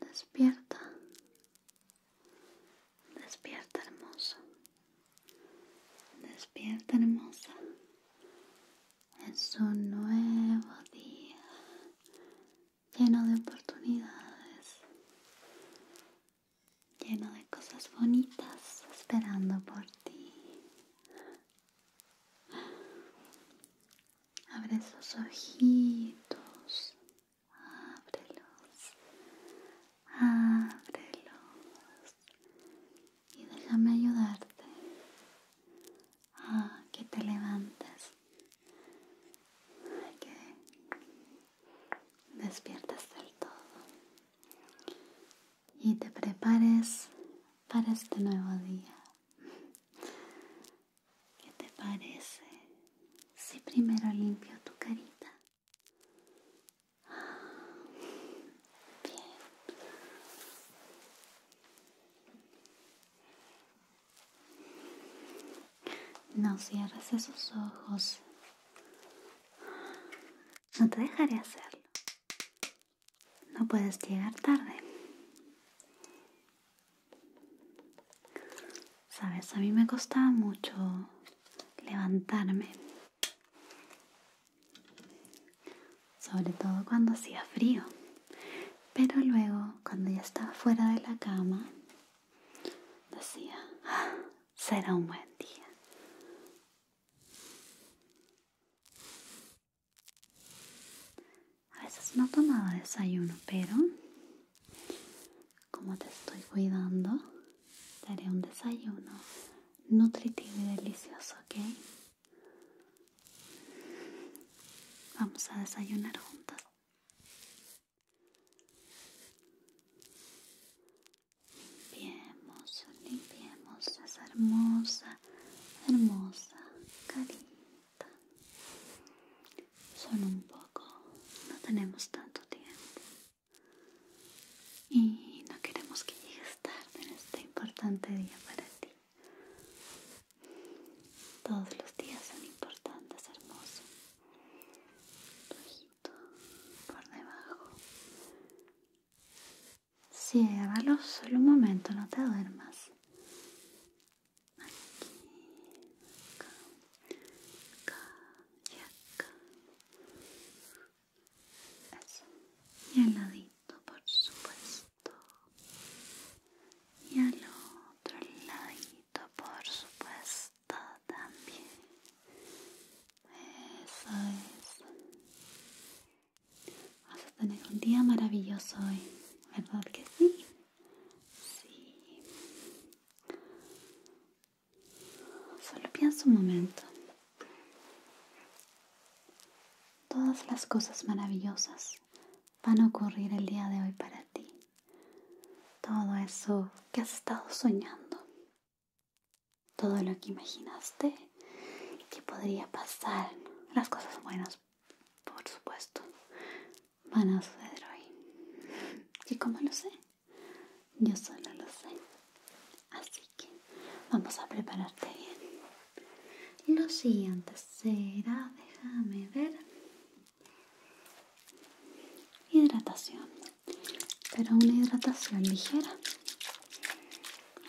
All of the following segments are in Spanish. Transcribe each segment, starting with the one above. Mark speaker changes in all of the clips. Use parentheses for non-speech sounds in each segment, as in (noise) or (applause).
Speaker 1: Despierta. Despierta hermoso. Despierta hermosa. Es un nuevo día lleno de oportunidades, lleno de cosas bonitas esperando por ti. Abre esos ojitos, ábrelos, ábrelos y déjame ayudarte a que te levantes, a que despiertas del todo y te prepares para este nuevo día. ¿Qué te parece si primero limpio tu carita? No cierres esos ojos. No te dejaré hacerlo no puedes llegar tarde. Sabes, a mí me costaba mucho levantarme. Sobre todo cuando hacía frío. Pero luego, cuando ya estaba fuera de la cama, decía, ah, será un buen día. A veces no tomaba desayuno, pero como te estoy cuidando, te un desayuno nutritivo y delicioso, ¿ok? Vamos a desayunar juntos? Limpiemos, limpiemos es hermosa hermosa carita. son un poco, no tenemos tanto tiempo. Y no queremos que llegues tarde en este importante día para ti. Todos los días son importantes, hermoso. por debajo. Ciérralo solo un momento, no te duermas. Aquí, acá, acá y acá. Eso. Y al ladito, por supuesto. Y al otro ladito, por supuesto, también. Eso es. Vas a tener un día maravilloso hoy, ¿verdad que sí? Sí. Solo piensa un momento. Todas las cosas maravillosas van a ocurrir el día de hoy para ti. Todo eso que has estado soñando todo lo que imaginaste que podría pasar. Las cosas buenas, por supuesto, van a suceder hoy. (laughs) ¿Y como lo sé? Yo solo lo sé. Así que vamos a prepararte bien. Lo siguiente será, déjame ver, hidratación. Pero una hidratación ligera.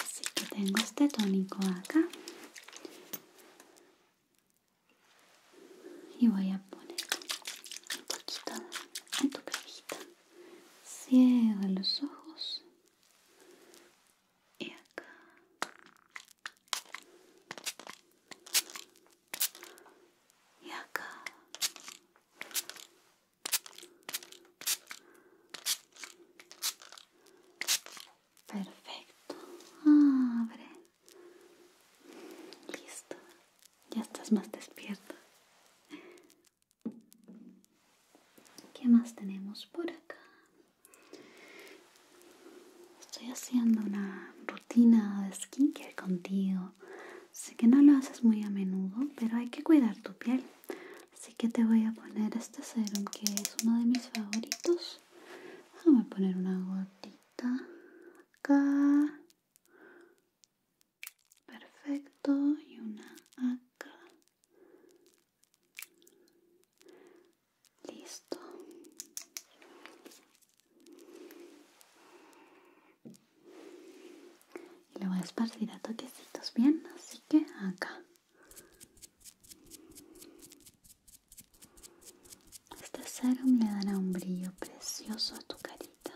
Speaker 1: Así que tengo este tónico acá. Y voy a poner un poquito en tu cabellita. Cierra los ojos. Y acá. Y acá. Perfecto. Abre. Listo. Ya estás más despierta. ¿Qué más tenemos por acá? Estoy haciendo una rutina de skincare contigo. Sé que no lo haces muy a menudo, pero hay que cuidar tu piel. Así que te voy a poner este serum que es uno de mis favoritos. Voy a poner una gotita acá. Perfecto. Y una acá. Listo. Y lo voy a esparcir a toquecitos, ¿bien? Así que acá. Este serum le dará un brillo precioso a tu carita.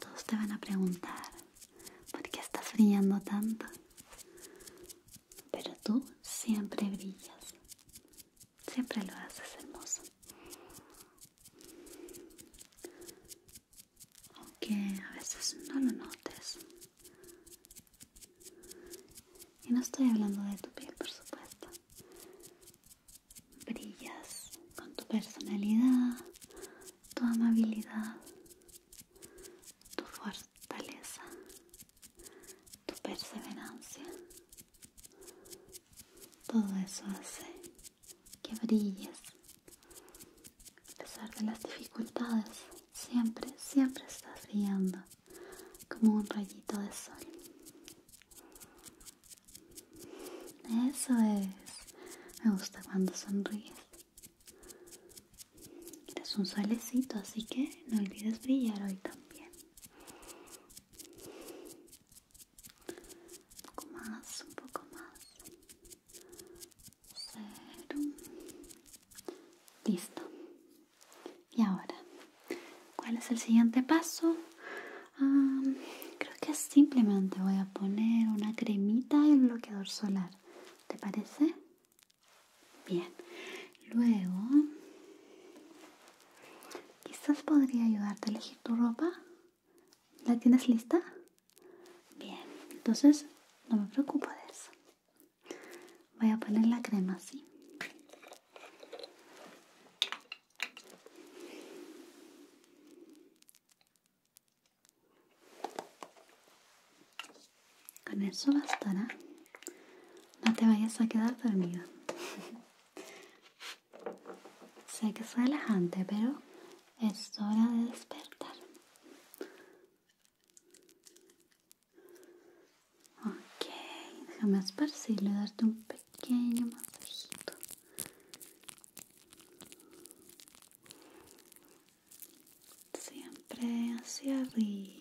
Speaker 1: Todos te van a preguntar, ¿por qué estás brillando tanto? Pero tú siempre brillas. Siempre lo haces hermoso aunque a veces no lo notes. Y no estoy hablando de tu piel, por supuesto. Brillas con tu personalidad, tu amabilidad, tu fortaleza, tu perseverancia. Todo eso hace que brilles a pesar de las dificultades, siempre, siempre estás brillando como un rayito de sol. Eso es. Me gusta cuando sonríes. Eres un solecito, así que no olvides brillar hoy también. Un poco más, un poco más. Listo. Y ahora, ¿cuál es el siguiente paso? creo que simplemente voy a poner una cremita y un bloqueador solar. ¿Te parece? Bien. Luego, quizás podría ayudarte a elegir tu ropa. ¿La tienes lista? Bien, entonces no me preocupo de eso. Voy a poner la crema así. Con eso bastará. No te vayas a quedar dormida. (laughs) sé que es relajante, pero es hora de despertar. Ok, déjame esparcirle darte un pequeño masajito. Siempre hacia arriba.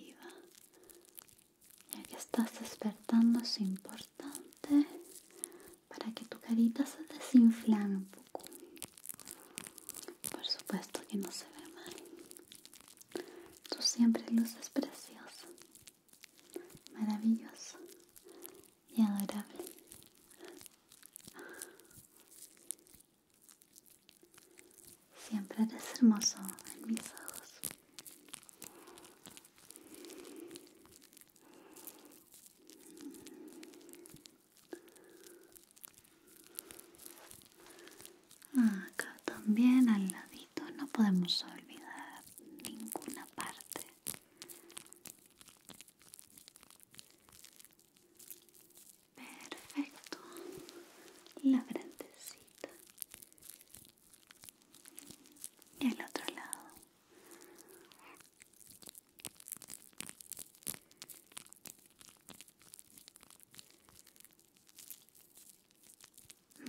Speaker 1: Ya que estás despertando es importante para que tu carita se desinflame por supuesto que no se ve mal tú siempre luces precioso maravilloso y adorable siempre eres hermoso en mis ojos Acá también al ladito no podemos olvidar ninguna parte. Perfecto. La grandecita. Y el otro lado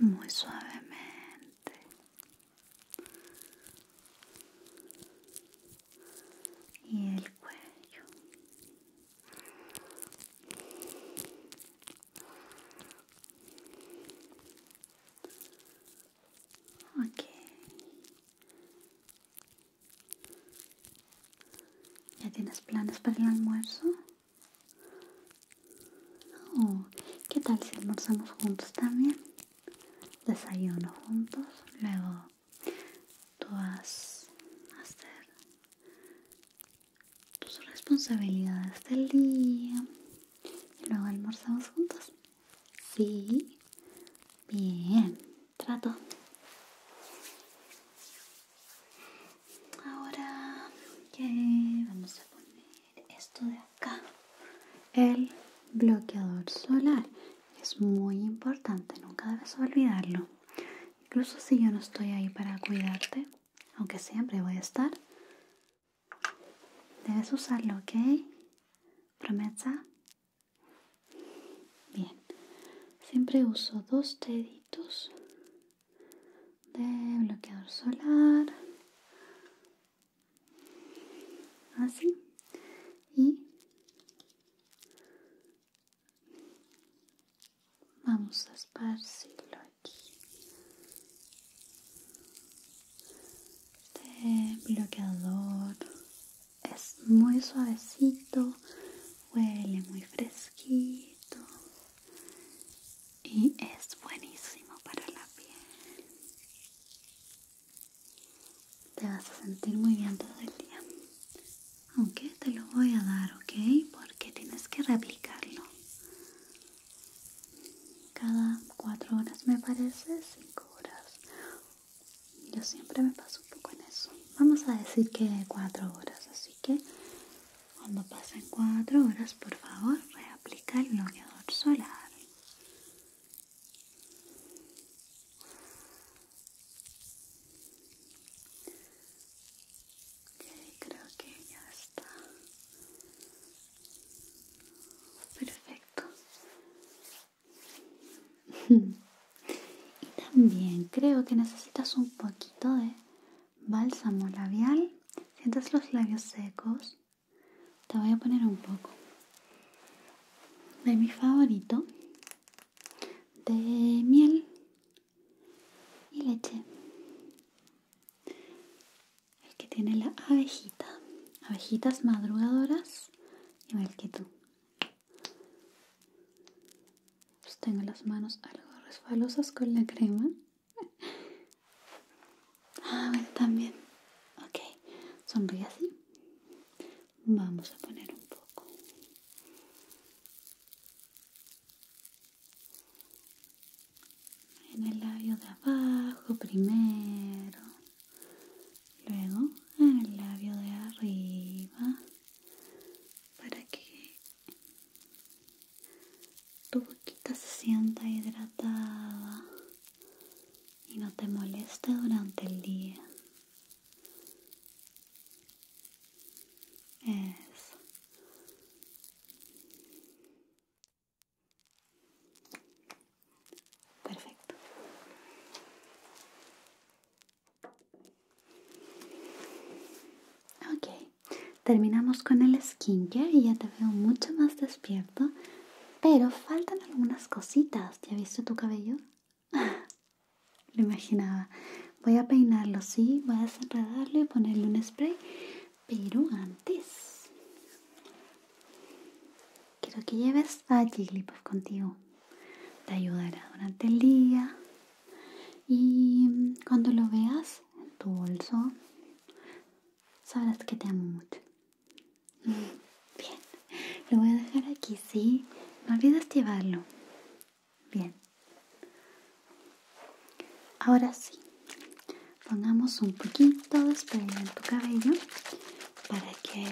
Speaker 1: muy suavemente y el cuello ok ¿Ya tienes planes para el almuerzo? Oh, ¿Qué tal si almorzamos juntos también? Desayuno juntos, luego tú vas a hacer tus responsabilidades del día y luego almorzamos juntos. Sí, Bien, trato. Ahora que vamos a poner esto de acá. El bloqueador solar es muy importante, nunca debes olvidarlo. Incluso si yo no estoy ahí para cuidarte, aunque siempre voy a estar, debes usarlo, ¿ok? Promesa. Bien, siempre uso dos deditos de bloqueador solar, así, y vamos a esparcirlo aquí. De bloqueador es muy suavecito, huele muy fresquito y es buenísimo para la piel. Te vas a sentir muy bien todo el día. Aunque te lo voy a dar, ¿ok? Porque tienes que replicarlo. Cada cuatro horas me parece, cinco horas yo siempre me paso un poco en eso vamos a decir que cuatro horas así que cuando pasen cuatro horas por favor reaplica el bloqueador solar Ok, creo que ya está perfecto (laughs) y también creo que necesitas un poquito de bálsamo labial. ¿Sientes los labios secos? Te voy a poner un poco de mi favorito de miel y leche. El que tiene la abejita. Abejitas madrugadoras igual que tú. Pues, tengo las manos algo resbalosas con la crema. (laughs) Ah, también. Ok, sonríe así. Vamos a poner un poco. En el labio de abajo primero. Luego en el labio de arriba para que tu boquita se sienta hidratada y no te moleste durante el día. Eso. Perfecto. Ok, terminamos con el skincare y ya te veo mucho más despierto, pero faltan algunas cositas. ¿Ya visto tu cabello? (laughs) Lo imaginaba. Voy a peinarlo, sí, voy a desenredarlo y ponerle un spray, pero antes quiero que lleves a Jigglypuff contigo. Te ayudará durante el día, y cuando lo veas en tu bolso, sabrás que te amo mucho. (laughs) Bien, lo voy a dejar aquí, ¿sí? No olvides llevarlo. Bien. Ahora sí, pongamos un poquito de spray en tu cabello para que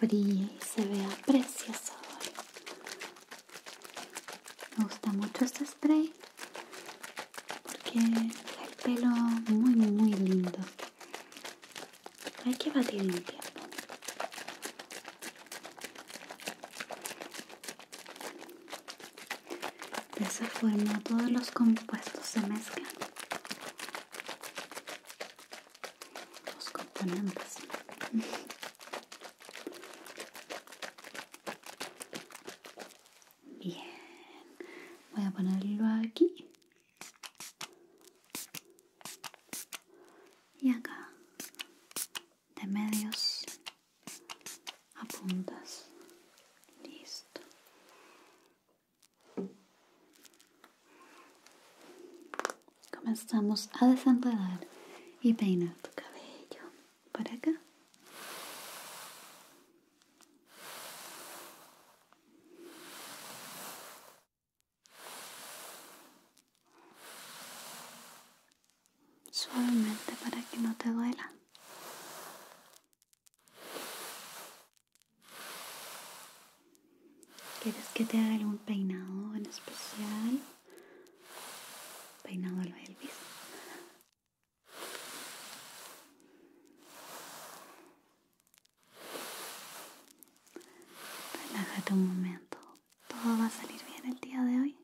Speaker 1: brille y se vea precioso. Me gusta mucho este spray porque el pelo muy muy lindo. Hay que batir en tiempo. De esa forma todos los compuestos se mezclan. Los componentes. (laughs) Bien, voy a ponerlo aquí y acá, de medios a puntas. Listo comenzamos a desenredar y peinar tu cabello por acá. Suavemente para que no te duela. ¿Quieres que te haga algún peinado en especial? peinado el el Elvis. Relájate un momento. Todo va a salir bien el día de hoy.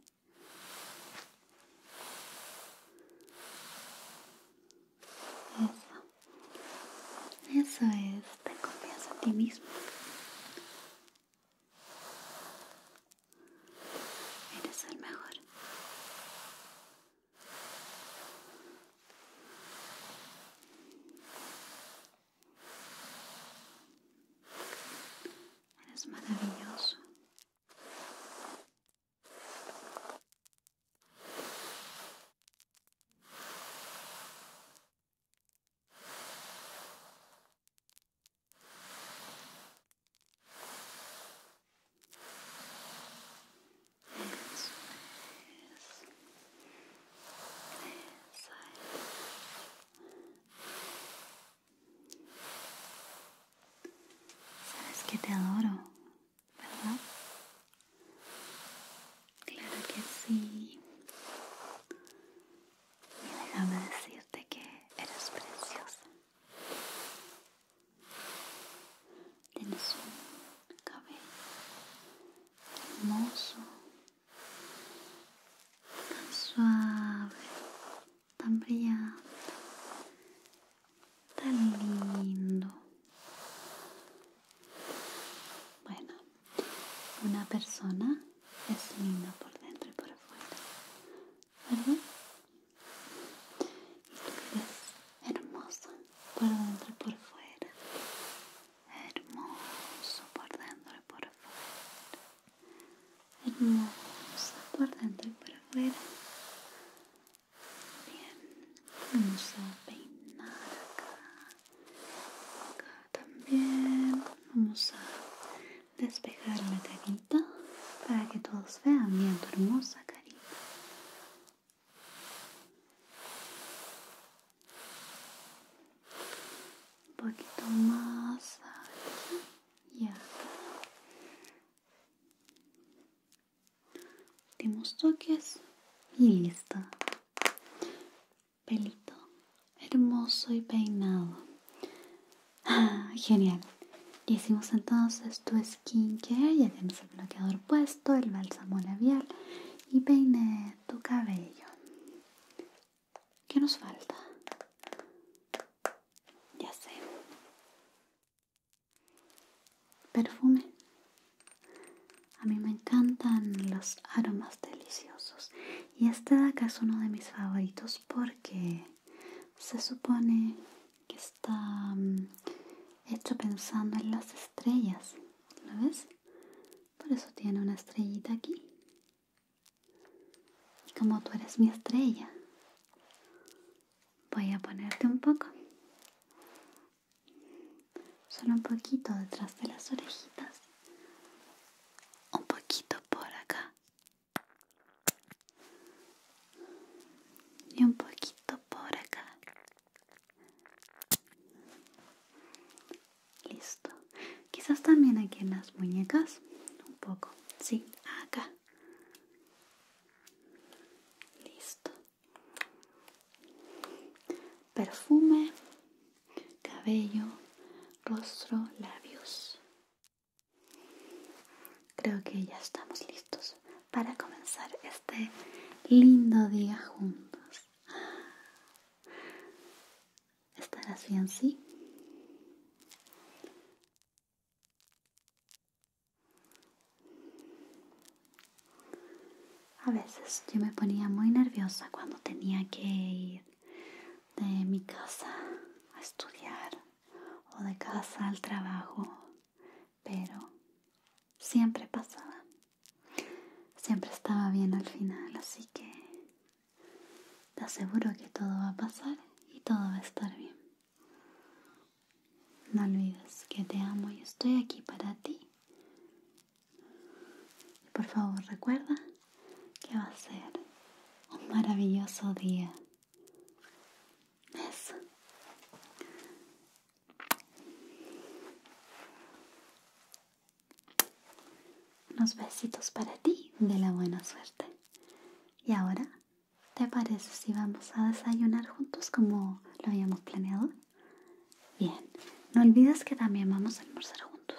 Speaker 1: Eso. es. te confianza en ti mismo. Eres el mejor. Eres maravilloso. Sabes que te adoro, ¿verdad? Claro que sí. Y déjame decirte que eres preciosa. Tienes un cabello hermoso, tan suave, tan brillante, tan lindo. Bueno, una persona es linda por dentro y por afuera, ¿verdad? Y tú eres hermosa por dentro y por fuera, hermoso por dentro y por afuera, hermosa por dentro y por afuera. Bien, vamos a peinar acá, acá también, vamos a despejar la carita para que todos vean bien tu hermosa carita. Un poquito más aquí y Últimos toques y listo. Pelito hermoso y peinado. (laughs) Ah, genial. Y hicimos entonces tu skincare, ya tienes el bloqueador puesto, el bálsamo labial y peiné tu cabello. ¿Qué nos falta? Ya sé. Perfume. A mí me encantan los aromas deliciosos. Y este de acá es uno de mis favoritos porque se supone que está mm, hecho pensando en las estrellas. ¿Lo ves? Por eso tiene una estrellita aquí. Y como tú eres mi estrella, voy a ponerte un poco. Solo un poquito detrás de las orejitas. Un poquito por acá y un poquito por acá. Listo. Quizás también aquí en las muñecas. Un poco. Sí, acá. Listo. Perfume, cabello, rostro, labios. Creo que ya estamos listos para comenzar este lindo día juntos. así en sí? A veces yo me ponía muy nerviosa cuando tenía que ir de mi casa a estudiar o de casa al trabajo, pero siempre pasaba. Siempre estaba bien al final, así que te aseguro que todo va a pasar y todo va a estar bien. No olvides que te amo y estoy aquí para ti. por favor recuerda que va a ser un maravilloso día. Unos besitos para ti de la buena suerte. Y ahora, ¿te parece si vamos a desayunar juntos como lo habíamos planeado? Bien, no olvides que también vamos a almorzar juntos.